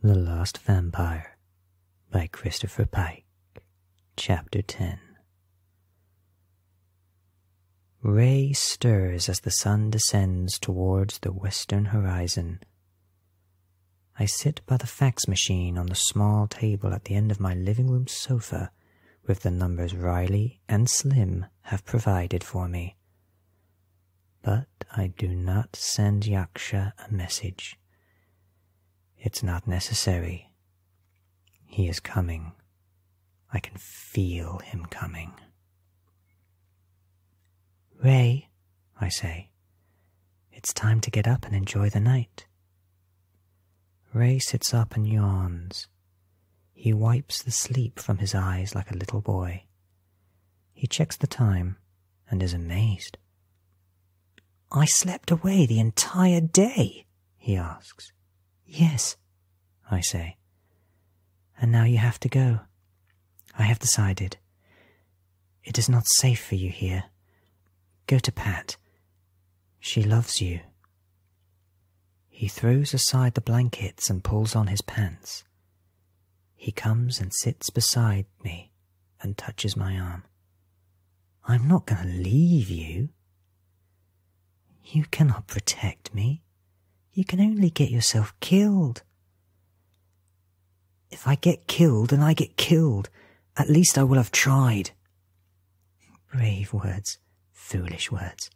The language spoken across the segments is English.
The Lost Vampire by Christopher Pike, Chapter 10. Ray stirs as the sun descends towards the western horizon. I sit by the fax machine on the small table at the end of my living room sofa with the numbers Riley and Slim have provided for me. But I do not send Yaksha a message. It's not necessary. He is coming. I can feel him coming. Ray, I say, it's time to get up and enjoy the night. Ray sits up and yawns. He wipes the sleep from his eyes like a little boy. He checks the time and is amazed. I slept away the entire day, he asks. Yes, I say. And now you have to go. I have decided. It is not safe for you here. Go to Pat. She loves you. He throws aside the blankets and pulls on his pants. He comes and sits beside me and touches my arm. I'm not going to leave you. You cannot protect me. You can only get yourself killed. If I get killed and I get killed, at least I will have tried. Brave words, foolish words.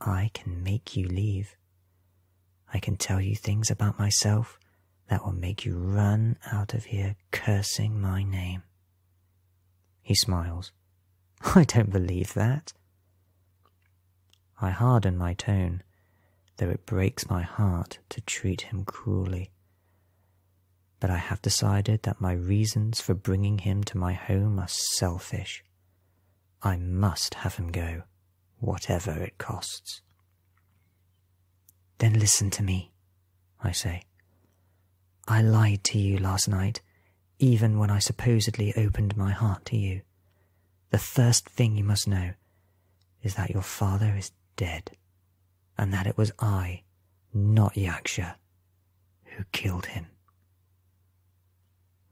I can make you leave. I can tell you things about myself that will make you run out of here cursing my name. He smiles. I don't believe that. I harden my tone, though it breaks my heart to treat him cruelly but I have decided that my reasons for bringing him to my home are selfish. I must have him go, whatever it costs. Then listen to me, I say. I lied to you last night, even when I supposedly opened my heart to you. The first thing you must know is that your father is dead, and that it was I, not Yaksha, who killed him.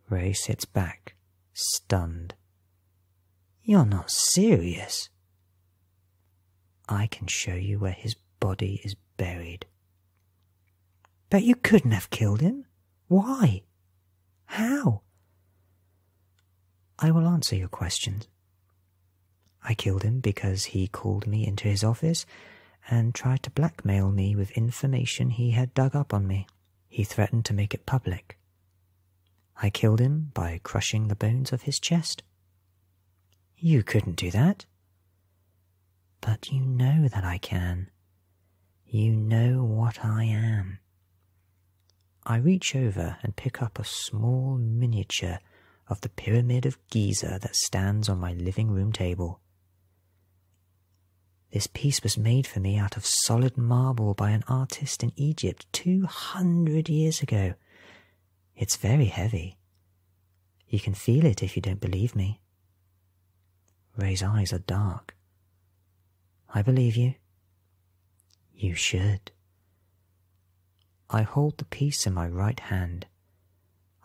Ray sits back, stunned. You're not serious. I can show you where his body is buried. But you couldn't have killed him. Why? How? I will answer your questions. I killed him because he called me into his office and tried to blackmail me with information he had dug up on me. He threatened to make it public. I killed him by crushing the bones of his chest. You couldn't do that. But you know that I can. You know what I am. I reach over and pick up a small miniature of the Pyramid of Giza that stands on my living room table. This piece was made for me out of solid marble by an artist in Egypt two hundred years ago. It's very heavy. You can feel it if you don't believe me. Ray's eyes are dark. I believe you. You should. I hold the piece in my right hand.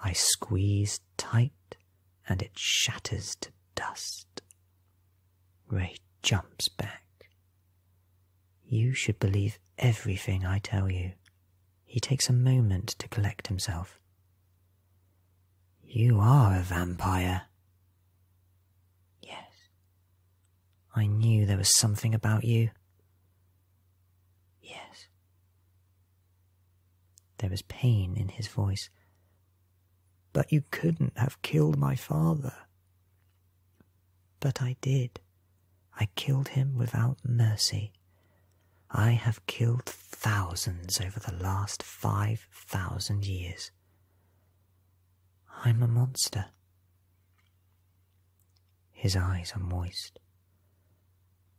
I squeeze tight and it shatters to dust. Ray jumps back. You should believe everything I tell you. He takes a moment to collect himself. You are a vampire. Yes. I knew there was something about you. Yes. There was pain in his voice. But you couldn't have killed my father. But I did. I killed him without mercy. I have killed thousands over the last five thousand years. I'm a monster. His eyes are moist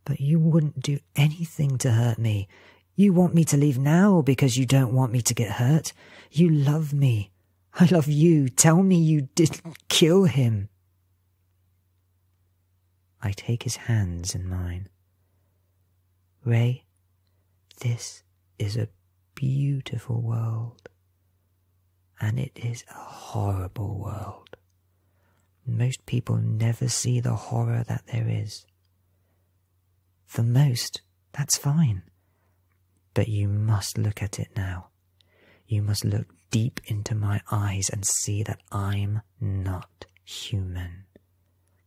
but you wouldn't do anything to hurt me. You want me to leave now because you don't want me to get hurt. You love me. I love you. Tell me you didn't kill him. I take his hands in mine. Ray, this is a beautiful world, and it is a horrible world. Most people never see the horror that there is. For most, that's fine. But you must look at it now. You must look deep into my eyes and see that I'm not human,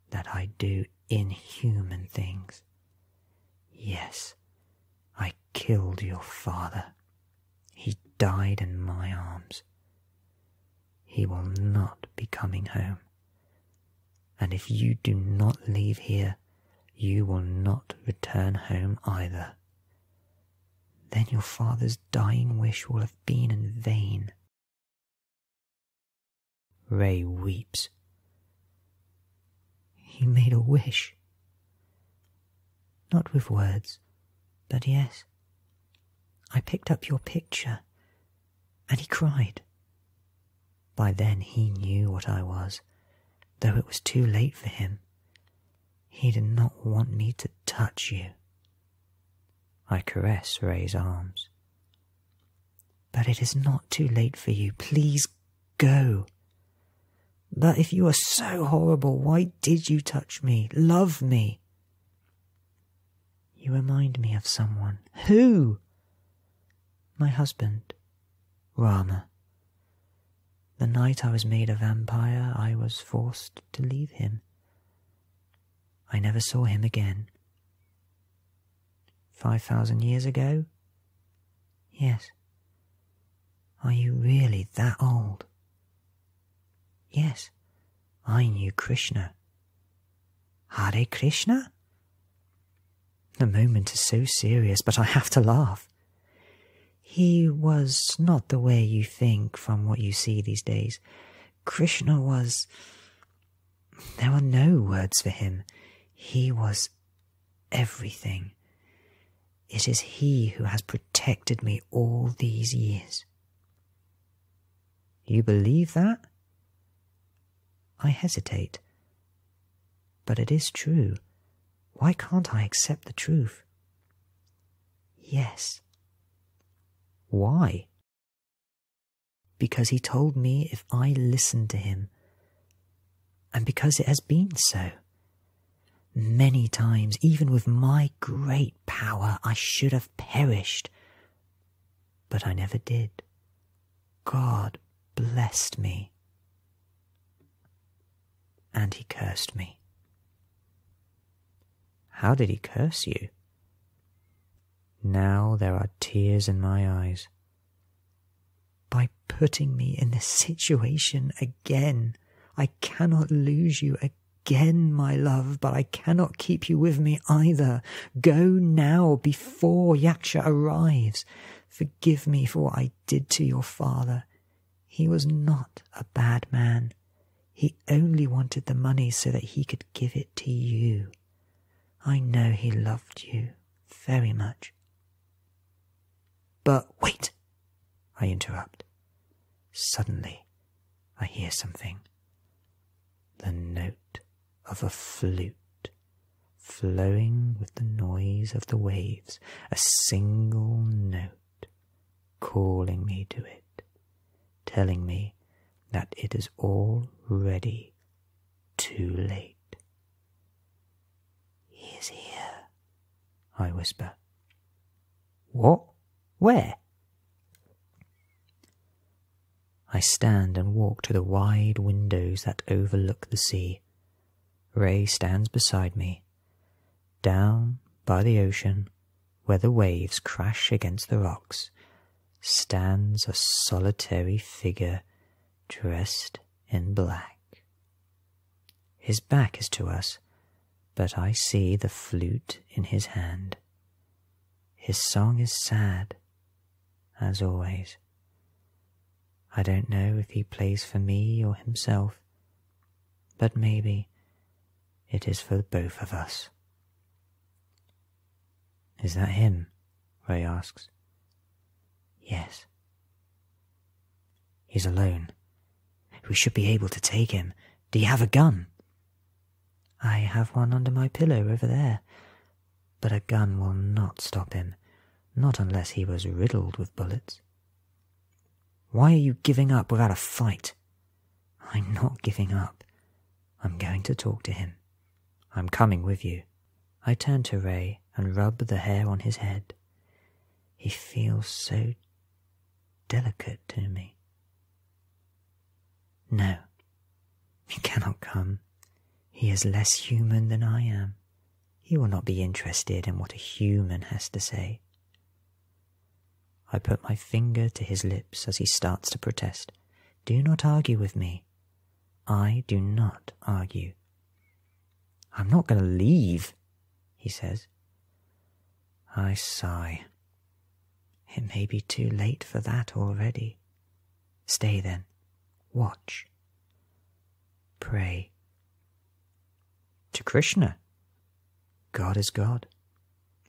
that I do inhuman things. Yes, I killed your father. He died in my arms he will not be coming home. And if you do not leave here, you will not return home either. Then your father's dying wish will have been in vain. Ray weeps. He made a wish. Not with words, but yes, I picked up your picture, and he cried. By then he knew what I was, though it was too late for him. He did not want me to touch you. I caress Ray's arms. But it is not too late for you. Please go. But if you are so horrible, why did you touch me? Love me. You remind me of someone. Who? My husband, Rama. The night I was made a vampire, I was forced to leave him. I never saw him again. Five thousand years ago? Yes. Are you really that old? Yes, I knew Krishna. Hare Krishna? The moment is so serious, but I have to laugh. He was not the way you think from what you see these days. Krishna was. There are no words for him. He was everything. It is he who has protected me all these years. You believe that? I hesitate. But it is true. Why can't I accept the truth? Yes. Why? Because he told me if I listened to him, and because it has been so. Many times, even with my great power, I should have perished, but I never did. God blessed me. And he cursed me. How did he curse you? Now there are tears in my eyes. By putting me in this situation again, I cannot lose you again, my love, but I cannot keep you with me either. Go now before Yaksha arrives. Forgive me for what I did to your father. He was not a bad man. He only wanted the money so that he could give it to you. I know he loved you very much. But wait, I interrupt. Suddenly, I hear something. The note of a flute flowing with the noise of the waves, a single note calling me to it, telling me that it is already too late. He is here, I whisper. What? Where? I stand and walk to the wide windows that overlook the sea. Ray stands beside me, down by the ocean, where the waves crash against the rocks, stands a solitary figure dressed in black. His back is to us, but I see the flute in his hand. His song is sad, as always. I don't know if he plays for me or himself, but maybe it is for both of us. Is that him? Ray asks. Yes. He's alone. We should be able to take him. Do you have a gun? I have one under my pillow over there. But a gun will not stop him, not unless he was riddled with bullets. Why are you giving up without a fight? I'm not giving up. I'm going to talk to him. I'm coming with you. I turn to Ray and rub the hair on his head. He feels so delicate to me. No, he cannot come. He is less human than I am. He will not be interested in what a human has to say. I put my finger to his lips as he starts to protest. Do not argue with me. I do not argue. I'm not going to leave, he says. I sigh it may be too late for that already. Stay then, watch, pray. To Krishna. God is God.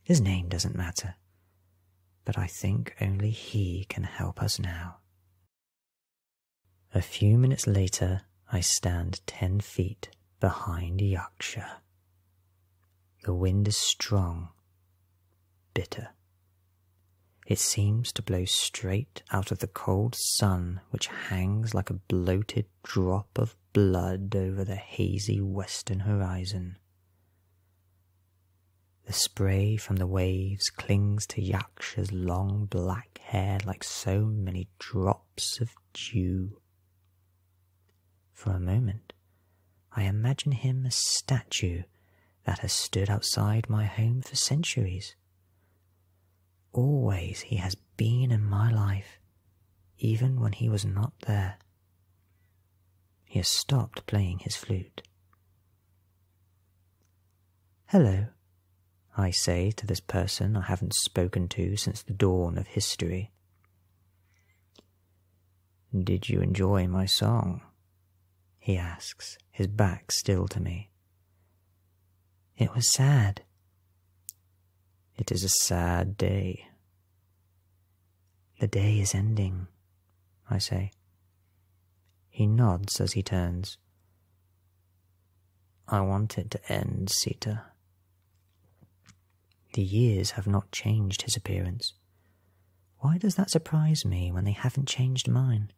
His name doesn't matter. But I think only He can help us now. A few minutes later, I stand ten feet behind Yaksha. The wind is strong, bitter. It seems to blow straight out of the cold sun which hangs like a bloated drop of blood over the hazy western horizon. The spray from the waves clings to Yaksha's long black hair like so many drops of dew. For a moment, I imagine him a statue that has stood outside my home for centuries. Always he has been in my life, even when he was not there. He has stopped playing his flute. Hello, I say to this person I haven't spoken to since the dawn of history. Did you enjoy my song? He asks, his back still to me. It was sad. It is a sad day. The day is ending, I say. He nods as he turns. I wanted to end, Sita. The years have not changed his appearance. Why does that surprise me when they haven't changed mine?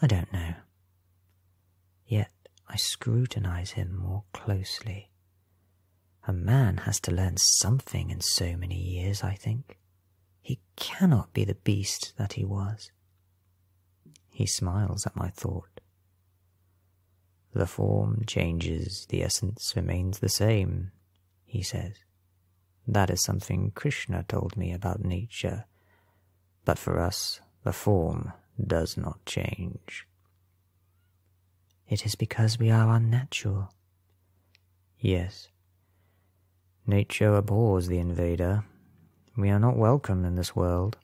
I don't know. Yet I scrutinize him more closely. A man has to learn something in so many years, I think. He cannot be the beast that he was. He smiles at my thought. The form changes, the essence remains the same, he says. That is something Krishna told me about nature. But for us, the form does not change. It is because we are unnatural. Yes. Nature abhors the invader. We are not welcome in this world.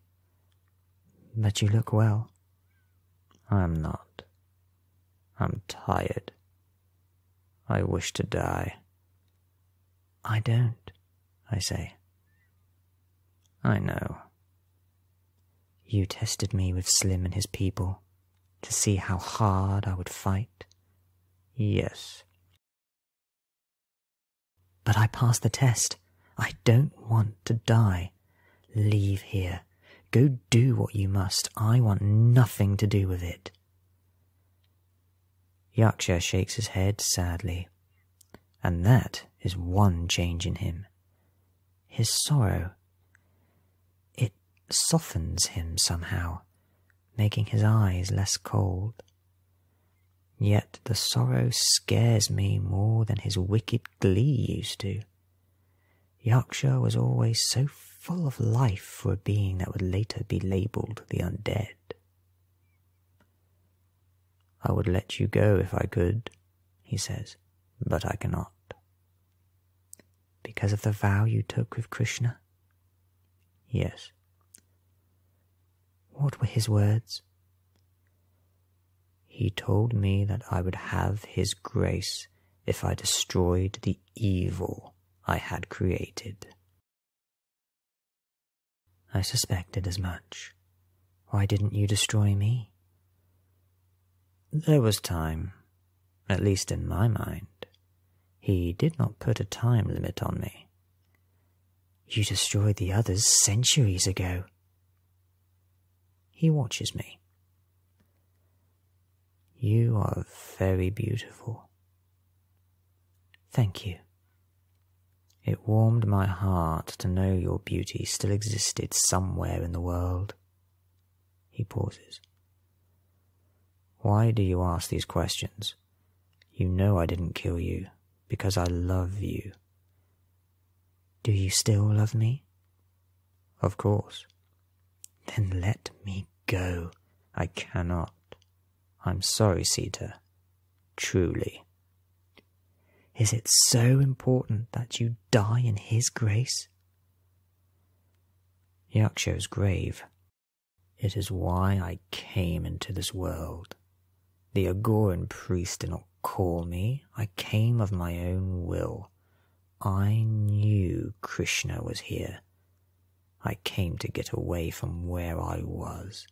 But you look well. I'm not. I'm tired. I wish to die. I don't, I say. I know. You tested me with Slim and his people to see how hard I would fight. Yes. But I passed the test. I don't want to die. Leave here. Go do what you must. I want nothing to do with it. Yaksha shakes his head sadly, and that is one change in him. His sorrow. It softens him somehow, making his eyes less cold. Yet the sorrow scares me more than his wicked glee used to. Yorkshire was always so full of life for a being that would later be labelled the undead. I would let you go if I could, he says, but I cannot. Because of the vow you took with Krishna? Yes. What were his words? He told me that I would have his grace if I destroyed the evil I had created. I suspected as much. Why didn't you destroy me? There was time, at least in my mind. He did not put a time limit on me. You destroyed the others centuries ago. He watches me. You are very beautiful. Thank you. It warmed my heart to know your beauty still existed somewhere in the world. He pauses. Why do you ask these questions? You know I didn't kill you because I love you. Do you still love me? Of course. Then let me go. I cannot. I'm sorry, Sita. Truly. Is it so important that you die in his grace? Yaksho's grave. It is why I came into this world. The Agoran priest did not call me. I came of my own will. I knew Krishna was here. I came to get away from where I was.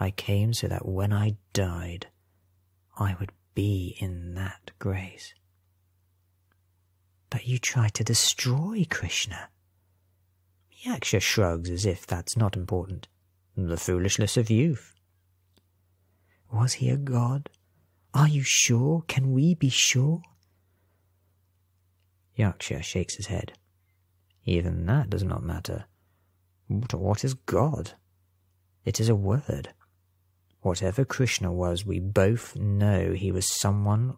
I came so that when I died, I would be in that grace. But you tried to destroy Krishna. Yaksha shrugs as if that's not important. The foolishness of youth. Was he a god? Are you sure? Can we be sure? Yorkshire shakes his head. Even that does not matter. But what is God? It is a word. Whatever Krishna was, we both know he was someone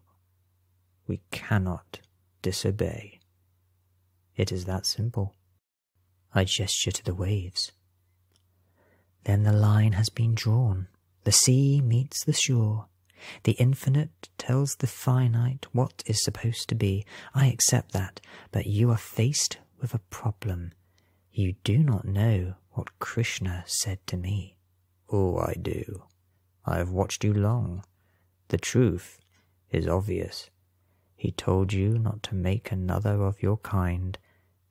we cannot disobey. It is that simple. I gesture to the waves. Then the line has been drawn. The sea meets the shore. The infinite tells the finite what is supposed to be. I accept that, but you are faced with a problem. You do not know what Krishna said to me. Oh, I do. I have watched you long. The truth is obvious. He told you not to make another of your kind,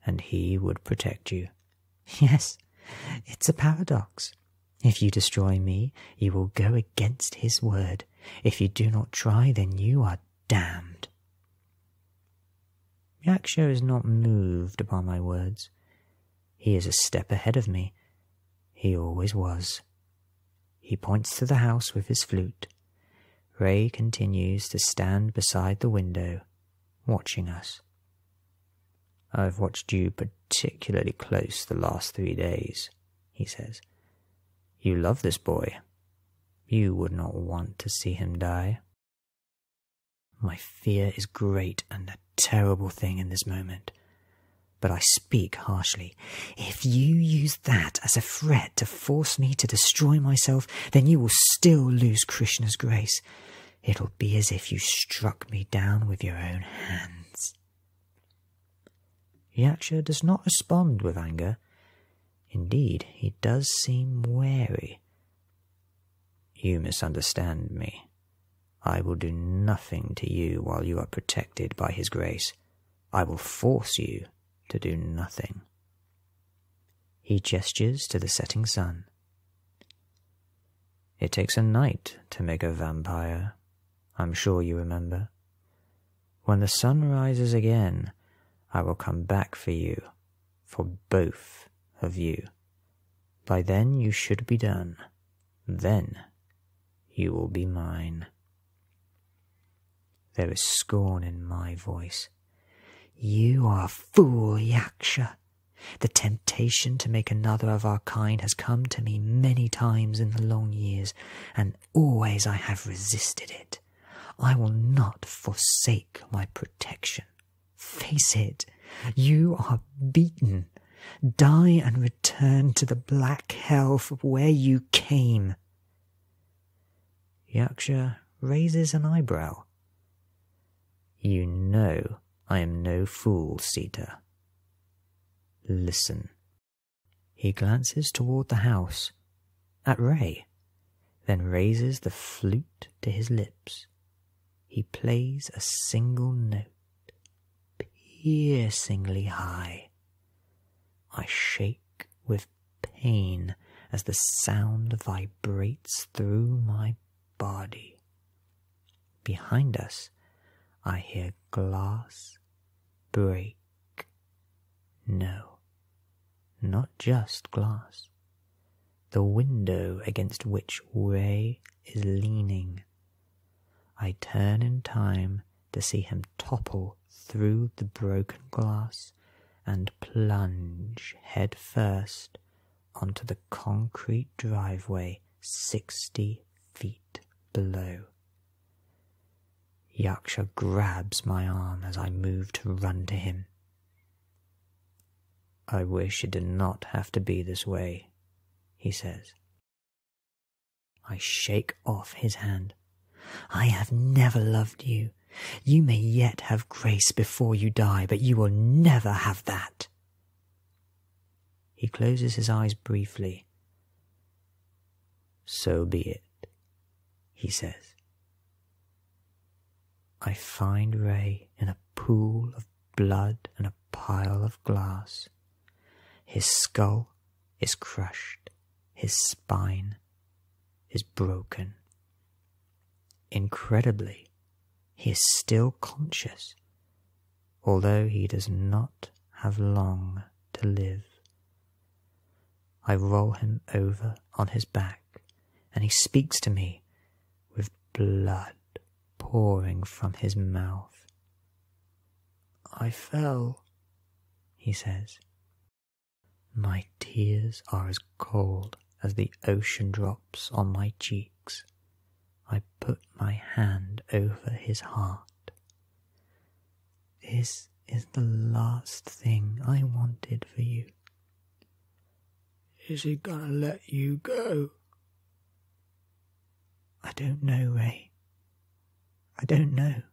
and he would protect you. Yes, it's a paradox. If you destroy me, you will go against his word. If you do not try, then you are damned. Yaksho is not moved by my words. He is a step ahead of me. He always was. He points to the house with his flute. Ray continues to stand beside the window, watching us. I've watched you particularly close the last three days, he says. You love this boy. You would not want to see him die. My fear is great and a terrible thing in this moment. But I speak harshly. If you use that as a threat to force me to destroy myself, then you will still lose Krishna's grace. It'll be as if you struck me down with your own hands. Yaksha does not respond with anger. Indeed, he does seem wary. You misunderstand me. I will do nothing to you while you are protected by his grace. I will force you to do nothing. He gestures to the setting sun. It takes a night to make a vampire, I'm sure you remember. When the sun rises again, I will come back for you, for both of you. By then you should be done. Then you will be mine. There is scorn in my voice. You are a fool, Yaksha. The temptation to make another of our kind has come to me many times in the long years, and always I have resisted it. I will not forsake my protection. Face it, you are beaten. Die and return to the black hell from where you came. Yaksha raises an eyebrow. You know I am no fool, Sita. Listen. He glances toward the house, at Ray, then raises the flute to his lips. He plays a single note, piercingly high. I shake with pain as the sound vibrates through my body. Behind us, I hear glass break. No, not just glass. The window against which Ray is leaning. I turn in time to see him topple through the broken glass and plunge head first onto the concrete driveway 60 feet below. Yaksha grabs my arm as I move to run to him. I wish it did not have to be this way, he says. I shake off his hand. I have never loved you. You may yet have grace before you die, but you will never have that. He closes his eyes briefly. So be it, he says. I find Ray in a pool of blood and a pile of glass. His skull is crushed, his spine is broken. Incredibly, he is still conscious although he does not have long to live. I roll him over on his back, and he speaks to me with blood pouring from his mouth. I fell, he says. My tears are as cold as the ocean drops on my cheeks, I put my hand over his heart. This is the last thing I wanted for you. Is he gonna let you go? I don't know, Ray. I don't know.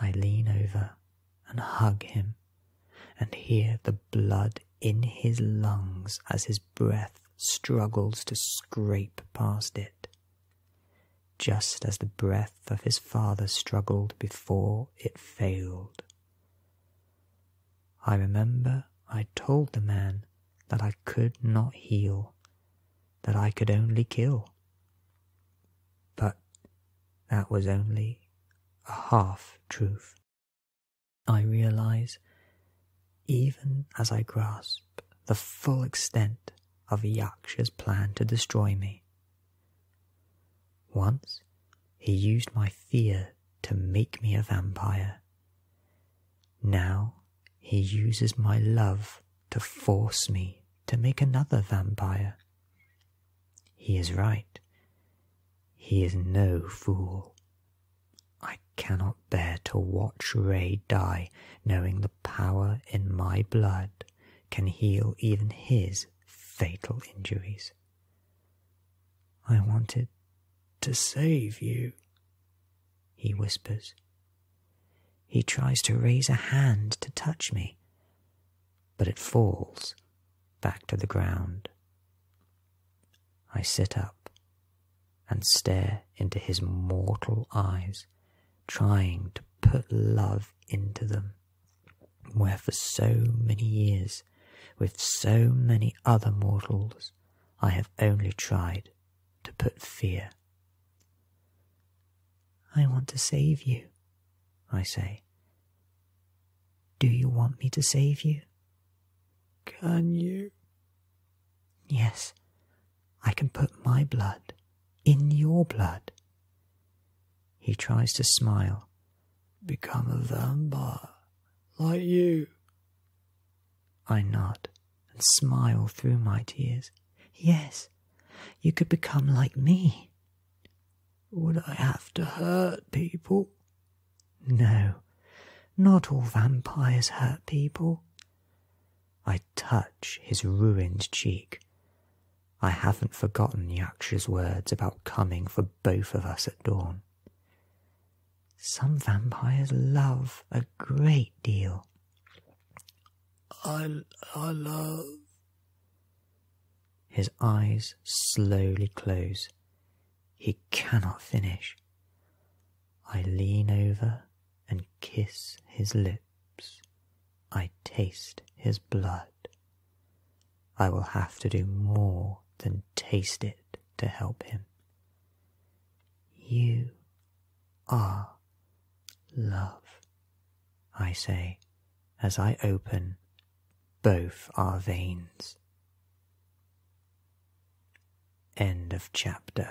I lean over and hug him and hear the blood in his lungs as his breath struggles to scrape past it, just as the breath of his father struggled before it failed. I remember I told the man that I could not heal, that I could only kill. But that was only a half truth. I realize, even as I grasp the full extent of Yaksha's plan to destroy me. Once he used my fear to make me a vampire. Now he uses my love to force me to make another vampire. He is right. He is no fool. I cannot bear to watch Ray die, knowing the power in my blood can heal even his fatal injuries. I wanted to save you, he whispers. He tries to raise a hand to touch me, but it falls back to the ground. I sit up and stare into his mortal eyes, trying to put love into them, where for so many years, with so many other mortals, I have only tried to put fear. I want to save you, I say. Do you want me to save you? Can you? Yes, I can put my blood in your blood. He tries to smile. Become a vampire, like you. I nod and smile through my tears. Yes, you could become like me. Would I have to hurt people? No, not all vampires hurt people. I touch his ruined cheek. I haven't forgotten Yaksha's words about coming for both of us at dawn. Some vampires love a great deal. I, I love. His eyes slowly close he cannot finish. I lean over and kiss his lips. I taste his blood. I will have to do more than taste it to help him. You are love, I say as I open both our veins. End of chapter.